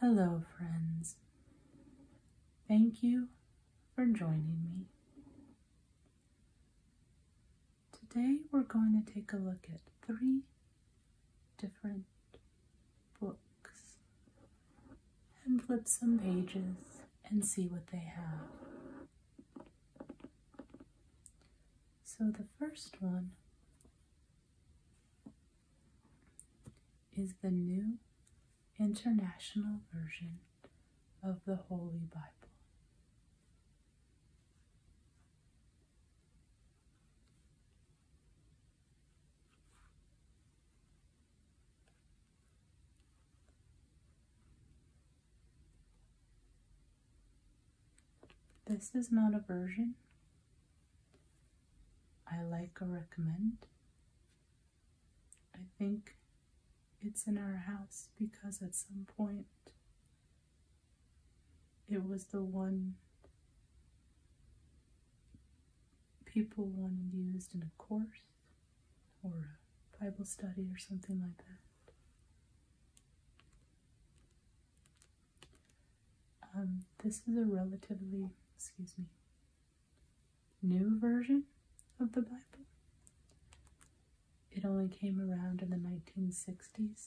Hello, friends. Thank you for joining me. Today, we're going to take a look at three different books and flip some pages and see what they have. So, the first one is the New International Version of the Holy Bible. This is not a version, I like or recommend. I think it's in our house because at some point it was the one people wanted used in a course or a Bible study or something like that. Um, this is a relatively, excuse me, new version of the Bible. It only came around in the 1960s.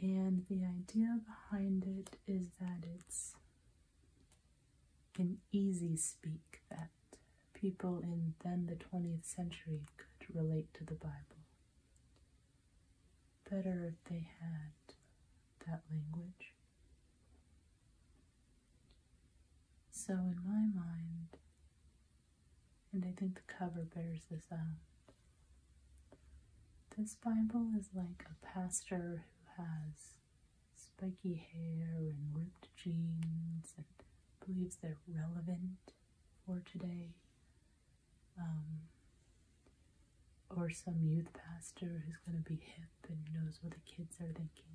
And the idea behind it is that it's an easy speak that people in then the 20th century could relate to the Bible better if they had that language. So, in my mind, and I think the cover bears this out, this Bible is like a pastor who has spiky hair and ripped jeans and believes they're relevant for today um, or some youth pastor who's going to be hip and knows what the kids are thinking.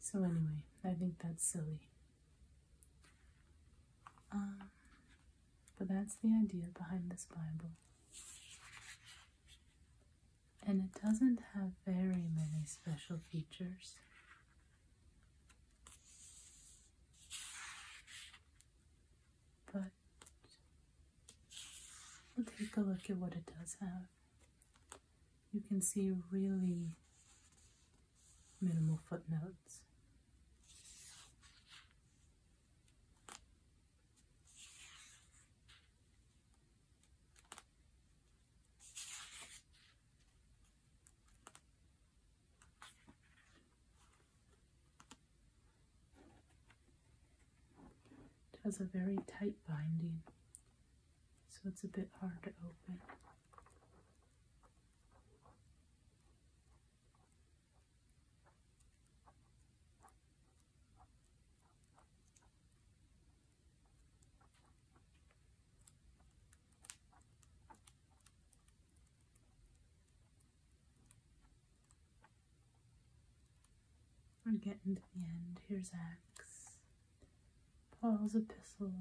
So, anyway, I think that's silly. Um, but that's the idea behind this Bible. And it doesn't have very many special features. But we'll take a look at what it does have. You can see really minimal footnotes. It has a very tight binding, so it's a bit hard to open. We're getting to the end. Here's Acts, Paul's epistles.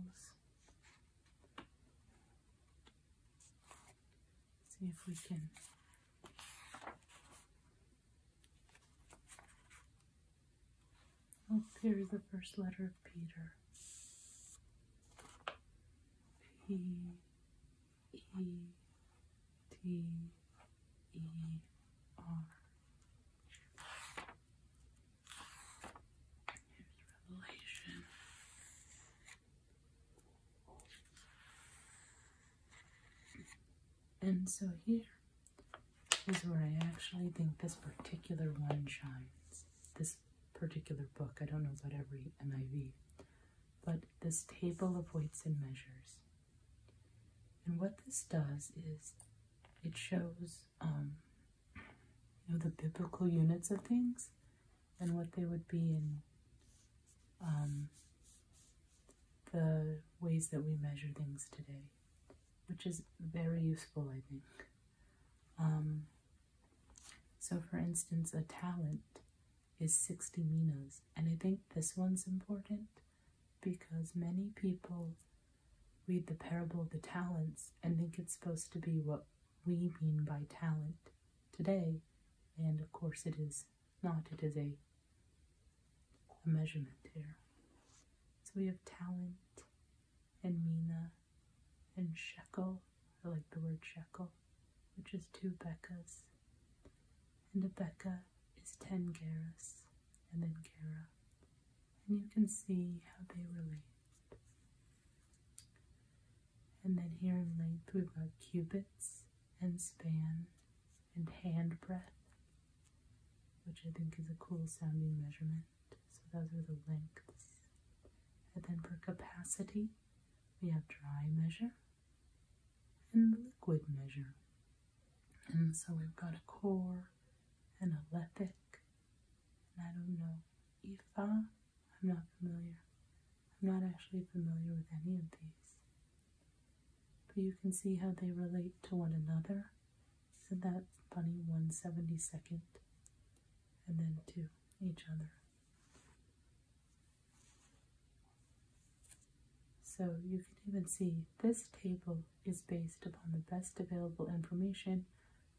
see if we can Oh, here's the first letter of Peter. P E T E R. Here's Revelation. And so here is where I actually think this particular one shines. This particular book. I don't know about every NIV, but this table of weights and measures. And what this does is it shows um, you know, the biblical units of things and what they would be in um, the ways that we measure things today, which is very useful, I think. Um, so, for instance, a talent is 60 minas, and I think this one's important because many people read the parable of the talents and think it's supposed to be what we mean by talent today, and of course, it is not, it is a, measurement here. So, we have talent and mina and shekel. I like the word shekel, which is two bekas. And a beka is 10 gerahs, and then cara, And you can see how they relate. And then here in length we've got cubits and span and hand which I think is a cool sounding measurement. So those are the lengths. And then for capacity, we have dry measure and liquid measure. And so we've got a core and a lethic. And I don't know, Ifa, I'm not familiar. I'm not actually familiar with any of these. But you can see how they relate to one another. Isn't that funny? One seventy second and then to each other. So you can even see this table is based upon the best available information,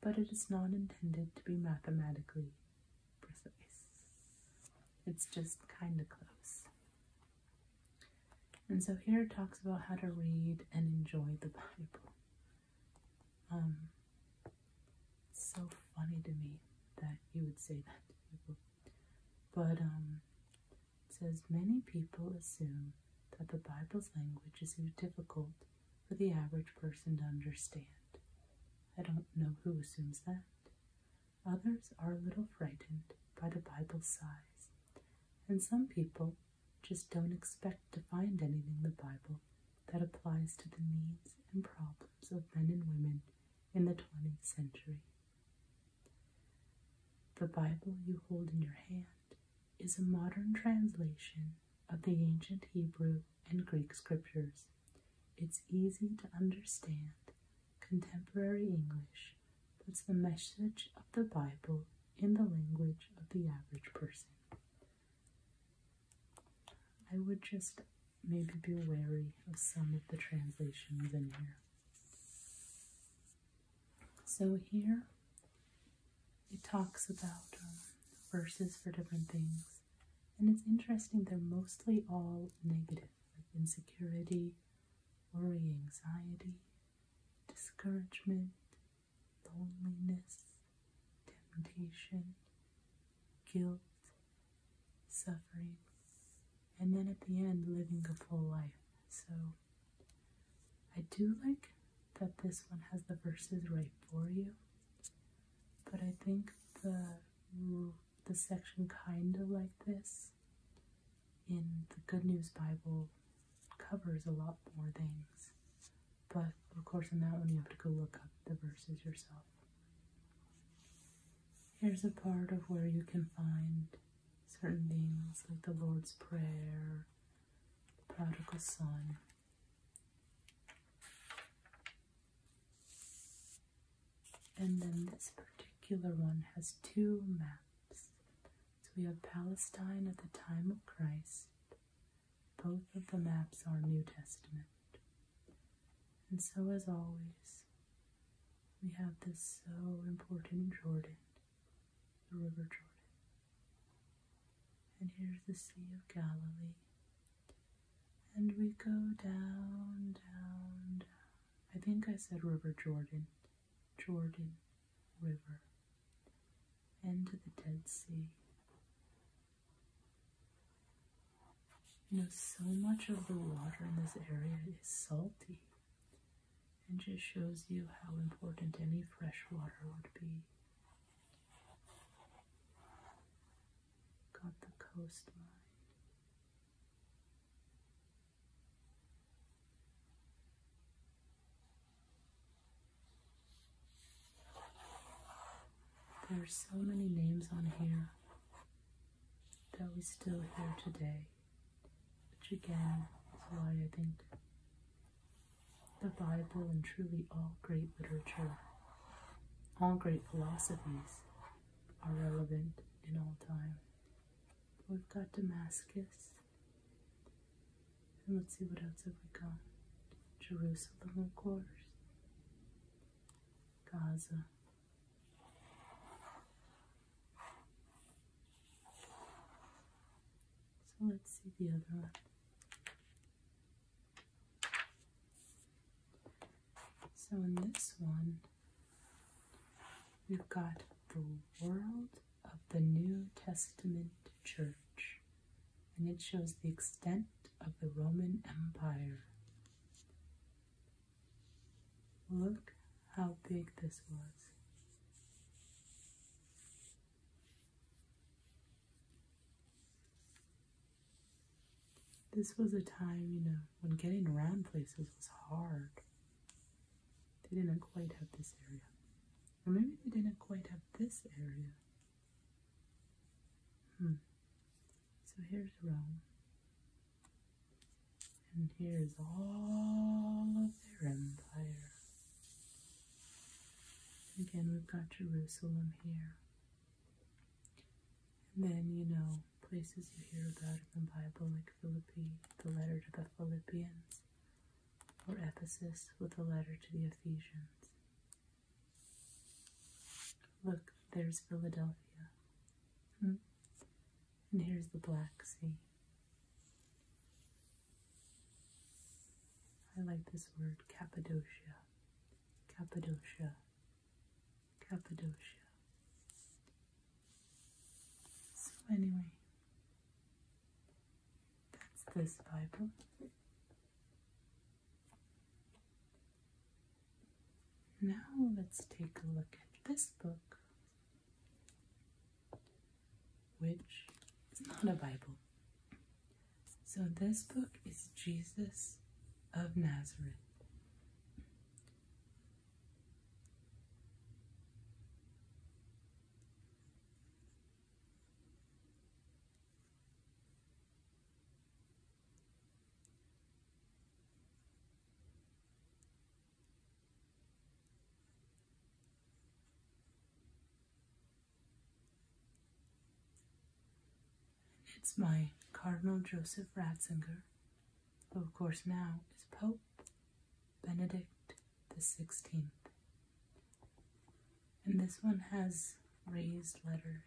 but it is not intended to be mathematically precise. It's just kind of close. And so here it talks about how to read and enjoy the Bible. Um, so funny to me that you would say that But um, it says many people assume that the Bible's language is too difficult for the average person to understand. I don't know who assumes that. Others are a little frightened by the Bible's size, and some people just don't expect to find anything in the Bible that applies to the needs and problems of men and women in the 20th century. The Bible you hold in your hand is a modern translation of the ancient Hebrew and Greek scriptures. It's easy to understand contemporary English puts the message of the Bible in the language of the average person. I would just maybe be wary of some of the translations in here. So here it talks about uh, verses for different things, and it's interesting, they're mostly all negative, insecurity, worry, anxiety, discouragement, loneliness, temptation, guilt, suffering, and then at the end, living a full life. So I do like that this one has the verses right for you, but I think the the section kind of like this in the Good News Bible covers a lot more things. But of course, on that one, you have to go look up the verses yourself. Here's a part of where you can find certain things like the Lord's Prayer, the Prodigal Son. And then this particular one has two maps. So we have Palestine at the time of Christ both of the maps are New Testament. And so, as always, we have this so important Jordan, the River Jordan. And here's the Sea of Galilee. And we go down, down, down. I think I said River Jordan. Jordan, River and to the Dead Sea. You know, so much of the water in this area is salty and just shows you how important any fresh water would be. Got the coastline. There are so many names on here that we still hear today, which again is why I think the Bible and truly all great literature, all great philosophies are relevant in all time. We've got Damascus, and let's see what else have we got. Jerusalem, of course. Gaza. So let's see the other one. So in this one, we've got the world of the New Testament church, and it shows the extent of the Roman Empire. Look how big this was. This was a time, you know, when getting around places was hard. They didn't quite have this area maybe they didn't quite have this area. Hmm. So here's Rome. And here's all of their empire. Again, we've got Jerusalem here. And then, you know, places you hear about in the Bible, like Philippi, the letter to the Philippians. Or Ephesus with a letter to the Ephesians. Look, there's Philadelphia. Hmm? And here's the Black Sea. I like this word, Cappadocia. Cappadocia. Cappadocia. So anyway, that's this Bible. Now let's take a look at this book, which is not a Bible. So this book is Jesus of Nazareth. It's my Cardinal Joseph Ratzinger, who of course now is Pope Benedict the Sixteenth. And this one has raised letters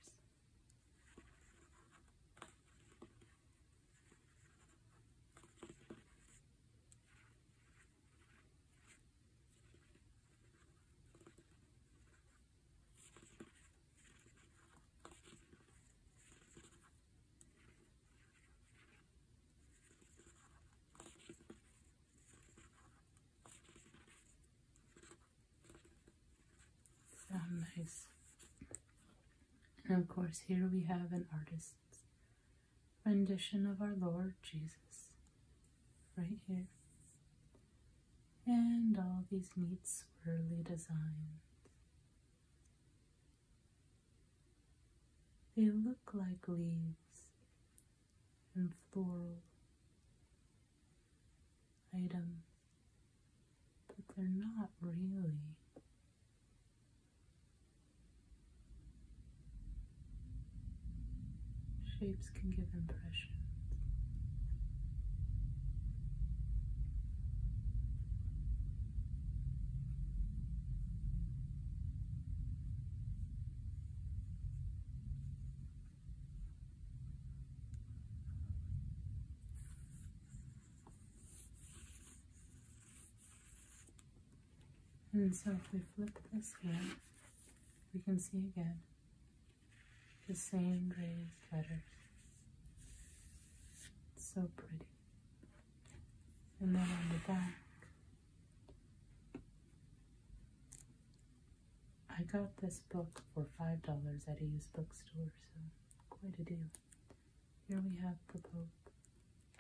nice. And of course, here we have an artist's rendition of our Lord Jesus right here. And all these neat swirly designs. They look like leaves and floral items, but they're not really. Shapes can give impressions. And so if we flip this here, we can see again the same gray letter. It's so pretty. And then on the back, I got this book for $5 at a used bookstore, so quite a deal. Here we have the Pope,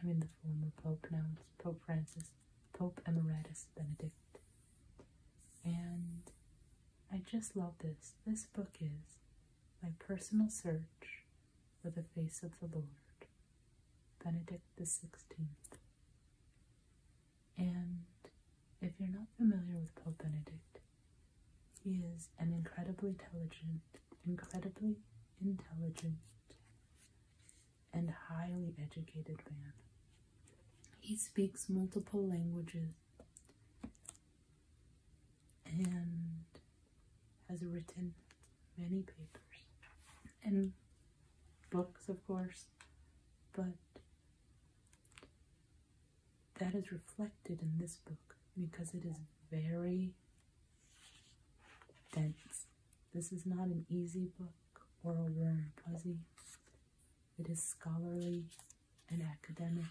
I mean the former Pope now, it's Pope Francis, Pope Emeritus Benedict. And I just love this. This book is my personal search for the face of the Lord Benedict XVI. And if you're not familiar with Pope Benedict, he is an incredibly intelligent, incredibly intelligent, and highly educated man. He speaks multiple languages and has written many papers and books, of course, but that is reflected in this book because it is very dense. This is not an easy book or a warm fuzzy. It is scholarly and academic.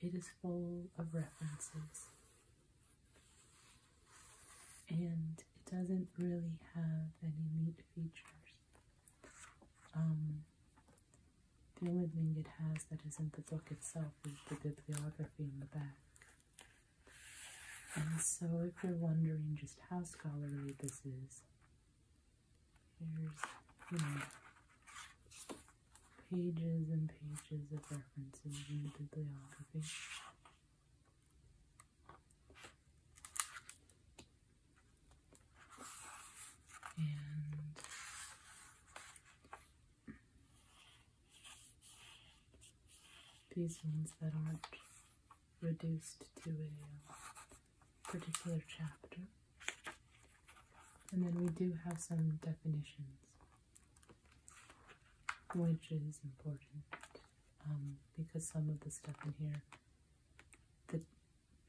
It is full of references and it doesn't really have any neat features. Um, the only thing it has that isn't the book itself is the bibliography in the back. And so, if you're wondering just how scholarly this is, here's, you know, pages and pages of references in the bibliography. And these ones that aren't reduced to a uh, particular chapter. And then we do have some definitions which is important um, because some of the stuff in here, the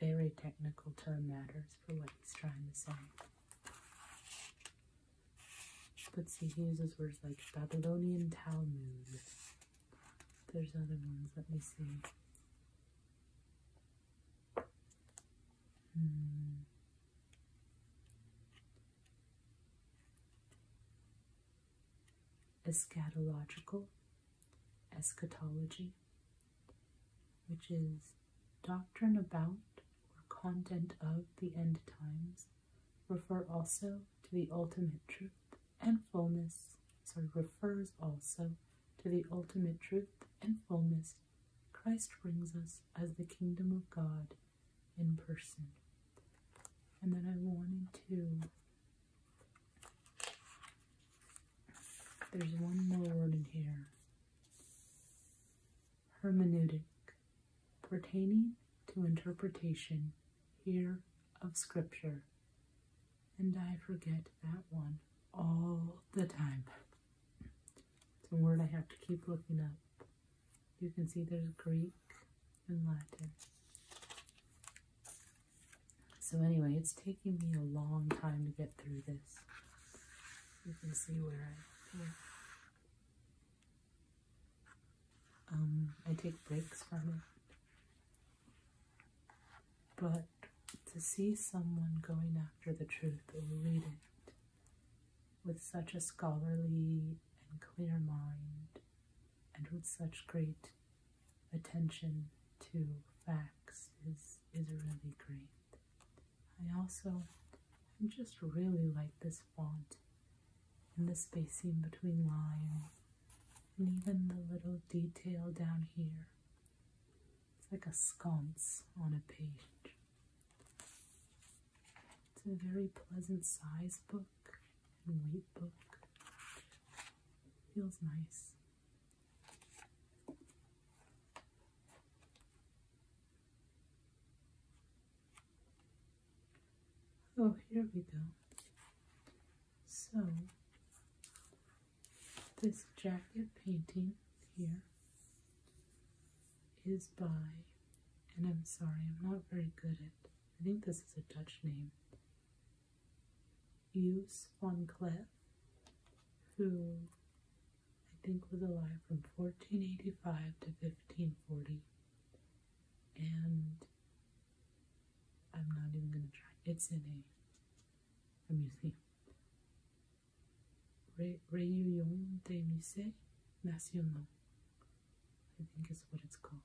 very technical term matters for what he's trying to say. But see, he uses words like Babylonian Talmud. There's other ones, let me see. Hmm eschatological eschatology which is doctrine about or content of the end times refer also to the ultimate truth and fullness sorry refers also to the ultimate truth and fullness Christ brings us as the kingdom of God in person. And then I wanted to. There's one more word in here hermeneutic, pertaining to interpretation here of Scripture. And I forget that one all the time. It's a word I have to keep looking up. You can see there's Greek and Latin. So anyway, it's taking me a long time to get through this. You can see where I paint. Um, I take breaks from it. But to see someone going after the truth or read it with such a scholarly and clear mind, and with such great attention to facts is, is really great. I also just really like this font and the spacing between lines and even the little detail down here. It's like a sconce on a page. It's a very pleasant size book and weight book. Feels nice. Oh, here we go. So, this jacket painting here is by, and I'm sorry, I'm not very good at, I think this is a Dutch name, Use van Cleef, who I think was alive from 1485 to 1540. And I'm not even going to try. It's in a, a museum. Reunion des Musées Nationaux, I think is what it's called.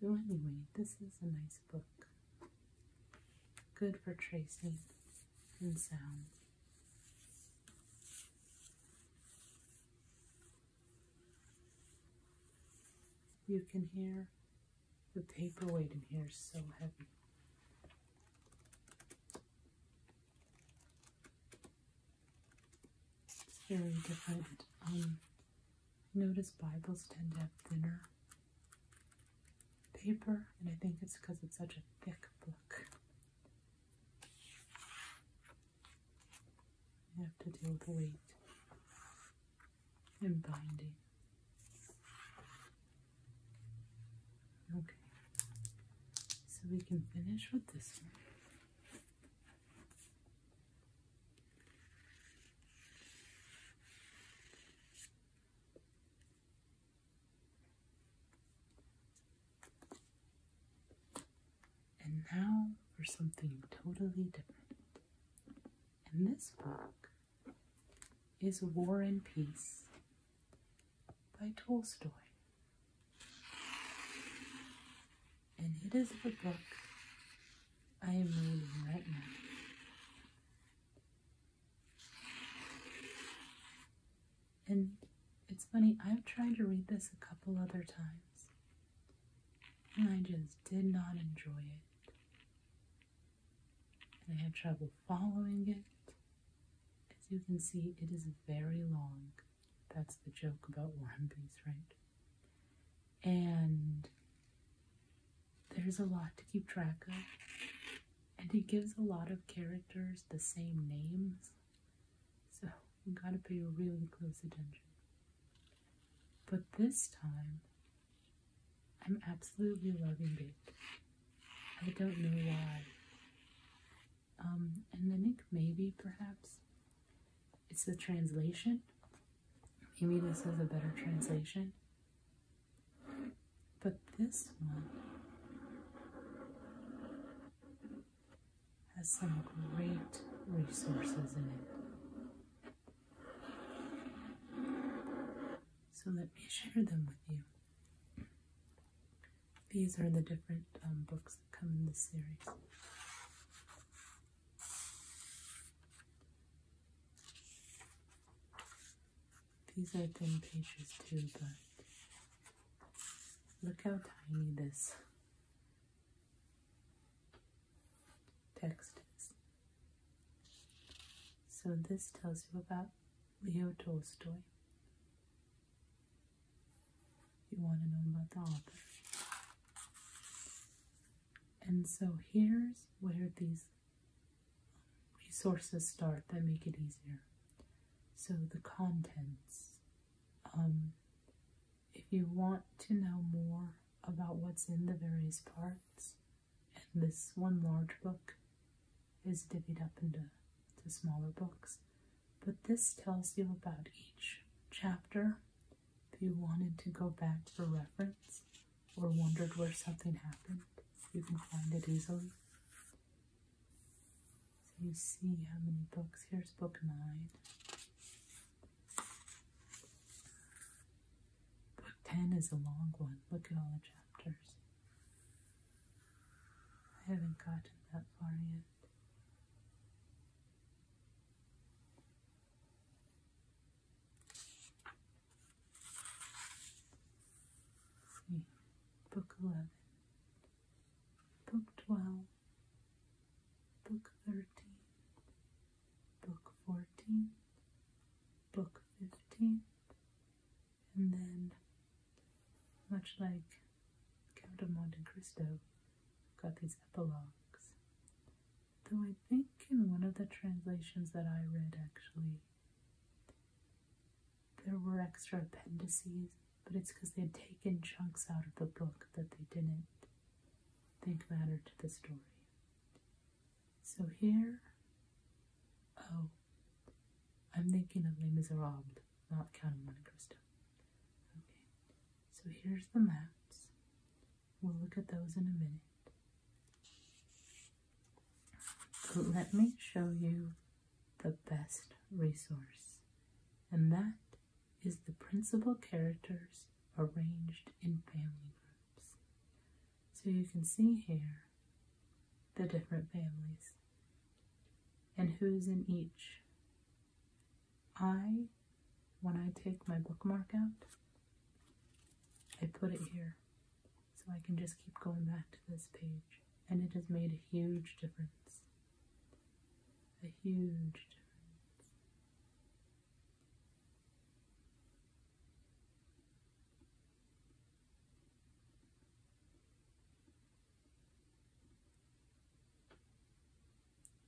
So, anyway, this is a nice book. Good for tracing and sound. You can hear the paper weight in here is so heavy. It's very different. Um, notice Bibles tend to have thinner paper, and I think it's because it's such a thick book. You have to deal with weight and binding. Okay, so we can finish with this one. And now for something totally different. And this book is War and Peace by Tolstoy. And it is the book I am reading right now. And it's funny, I've tried to read this a couple other times, and I just did not enjoy it. And I had trouble following it. As you can see, it is very long. That's the joke about One Piece, right? And there's a lot to keep track of. And it gives a lot of characters the same names. So you gotta pay really close attention. But this time, I'm absolutely loving it. I don't know why. Um, and I think maybe, perhaps, it's the translation. Maybe this is a better translation. But this one has some great resources in it. So let me share them with you. These are the different um, books that come in this series. These are thin pages too, but look how tiny this text is. So this tells you about Leo Tolstoy. You want to know about the author. And so here's where these resources start that make it easier. So the contents. Um, if you want to know more about what's in the various parts, and this one large book is divvied up into smaller books. But this tells you about each chapter if you wanted to go back for reference or wondered where something happened, you can find it easily. So you see how many books. Here's book nine. Book ten is a long one. Look at all the chapters. I haven't gotten that far yet. book 11, book 12, book 13, book 14, book 15, and then much like Count of Monte Cristo got these epilogues. Though I think in one of the translations that I read actually there were extra appendices, but it's because they had taken chunks out of the book that they didn't think mattered to the story. So here, oh, I'm thinking of Les Miserables, not Count of Monte Cristo. Okay, so here's the maps. We'll look at those in a minute. But let me show you the best resource, and that is the principal characters arranged in family groups. So you can see here the different families and who's in each. I, when I take my bookmark out, I put it here so I can just keep going back to this page. And it has made a huge difference. A huge difference.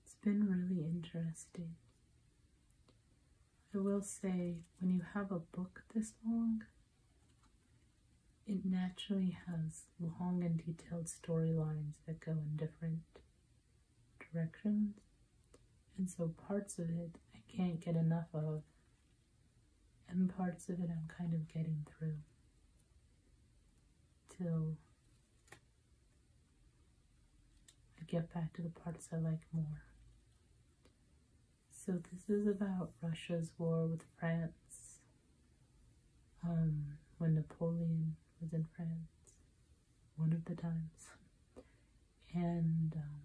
It's been really interesting. I will say, when you have a book this long, it naturally has long and detailed storylines that go in different directions, and so parts of it I can't get enough of and parts of it I'm kind of getting through till I get back to the parts I like more. So this is about Russia's war with France um, when Napoleon was in France, one of the times, and um,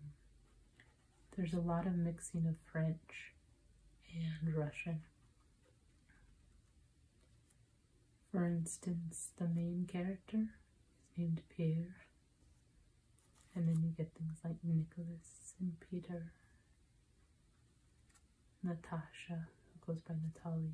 there's a lot of mixing of French and Russian. For instance, the main character is named Pierre, and then you get things like Nicholas and Peter, Natasha, who goes by Natalie.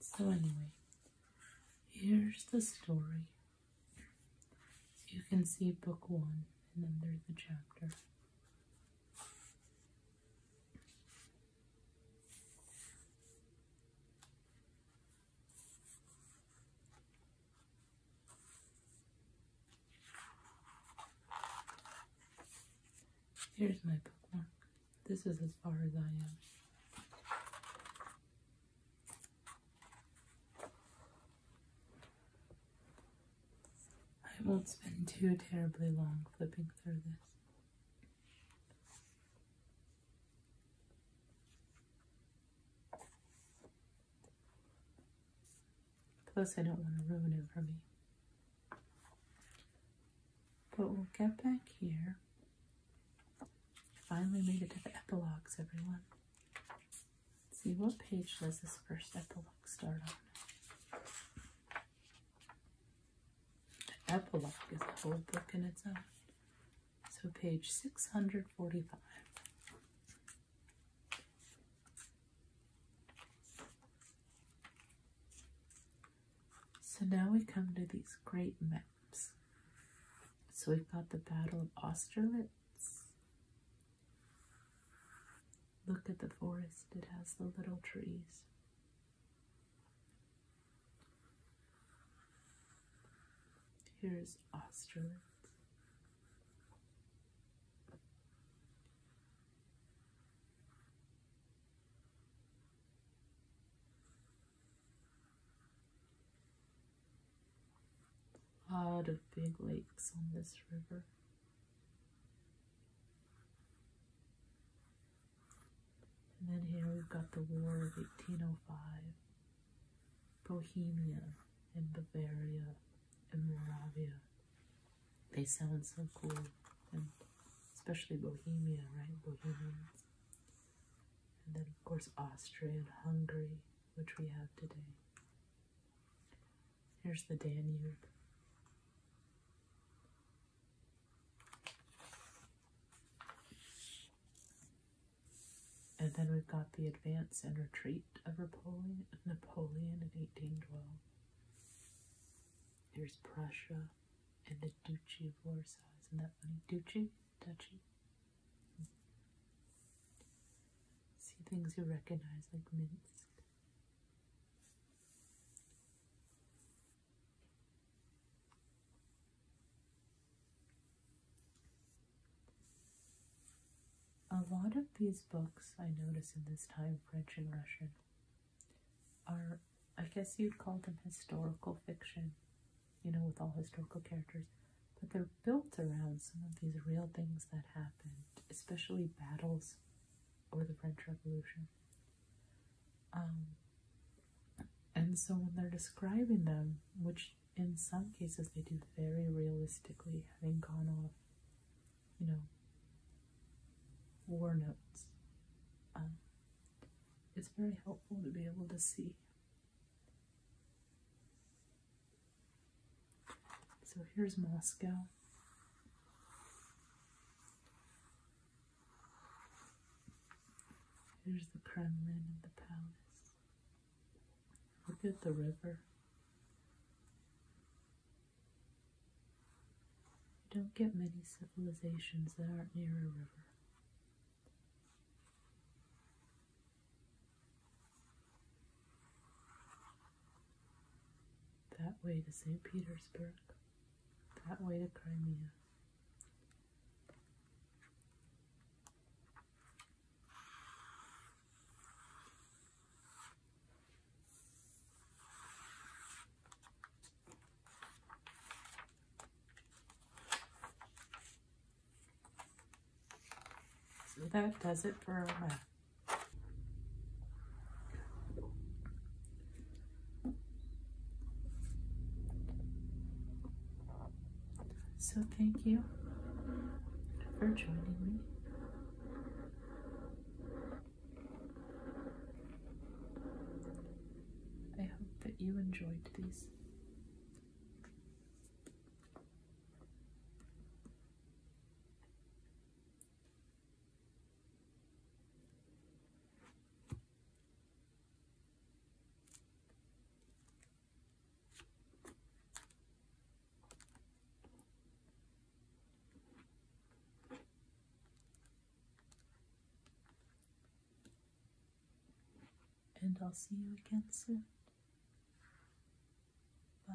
so, anyway, here's the story. you can see book one, and then there's the chapter. Here's my bookmark. This is as far as I am. I won't spend too terribly long flipping through this. Plus, I don't want to ruin it for me. But we'll get back here. Finally made it to the epilogues, everyone. see, what page does this first epilogue start on? The epilogue is a whole book in its own. So page 645. So now we come to these great maps. So we've got the Battle of Austerlitz. Look at the forest, it has the little trees. Here's Austerlitz. A lot of big lakes on this river. And then here we've got the War of 1805, Bohemia and Bavaria and Moravia they sound so cool, and especially Bohemia, right? Bohemians. And then, of course, Austria and Hungary, which we have today. Here's the Danube. And then we've got the advance and retreat of Napoleon, Napoleon in 1812. There's Prussia and the Duchy of Warsaw. Isn't that funny? Duchy? Duchy? See things you recognize like Minsk. A lot of these books I notice in this time French and Russian are, I guess you'd call them historical fiction, you know, with all historical characters, but they're built around some of these real things that happened, especially battles or the French Revolution. Um, and so when they're describing them, which in some cases they do very realistically, having gone off you know, war notes. Um, it's very helpful to be able to see. So here's Moscow. Here's the Kremlin and the palace. Look at the river. You don't get many civilizations that aren't near a river. That way to St. Petersburg, that way to Crimea. So that does it for my So thank you for joining me. I hope that you enjoyed these. And I'll see you again soon. Bye.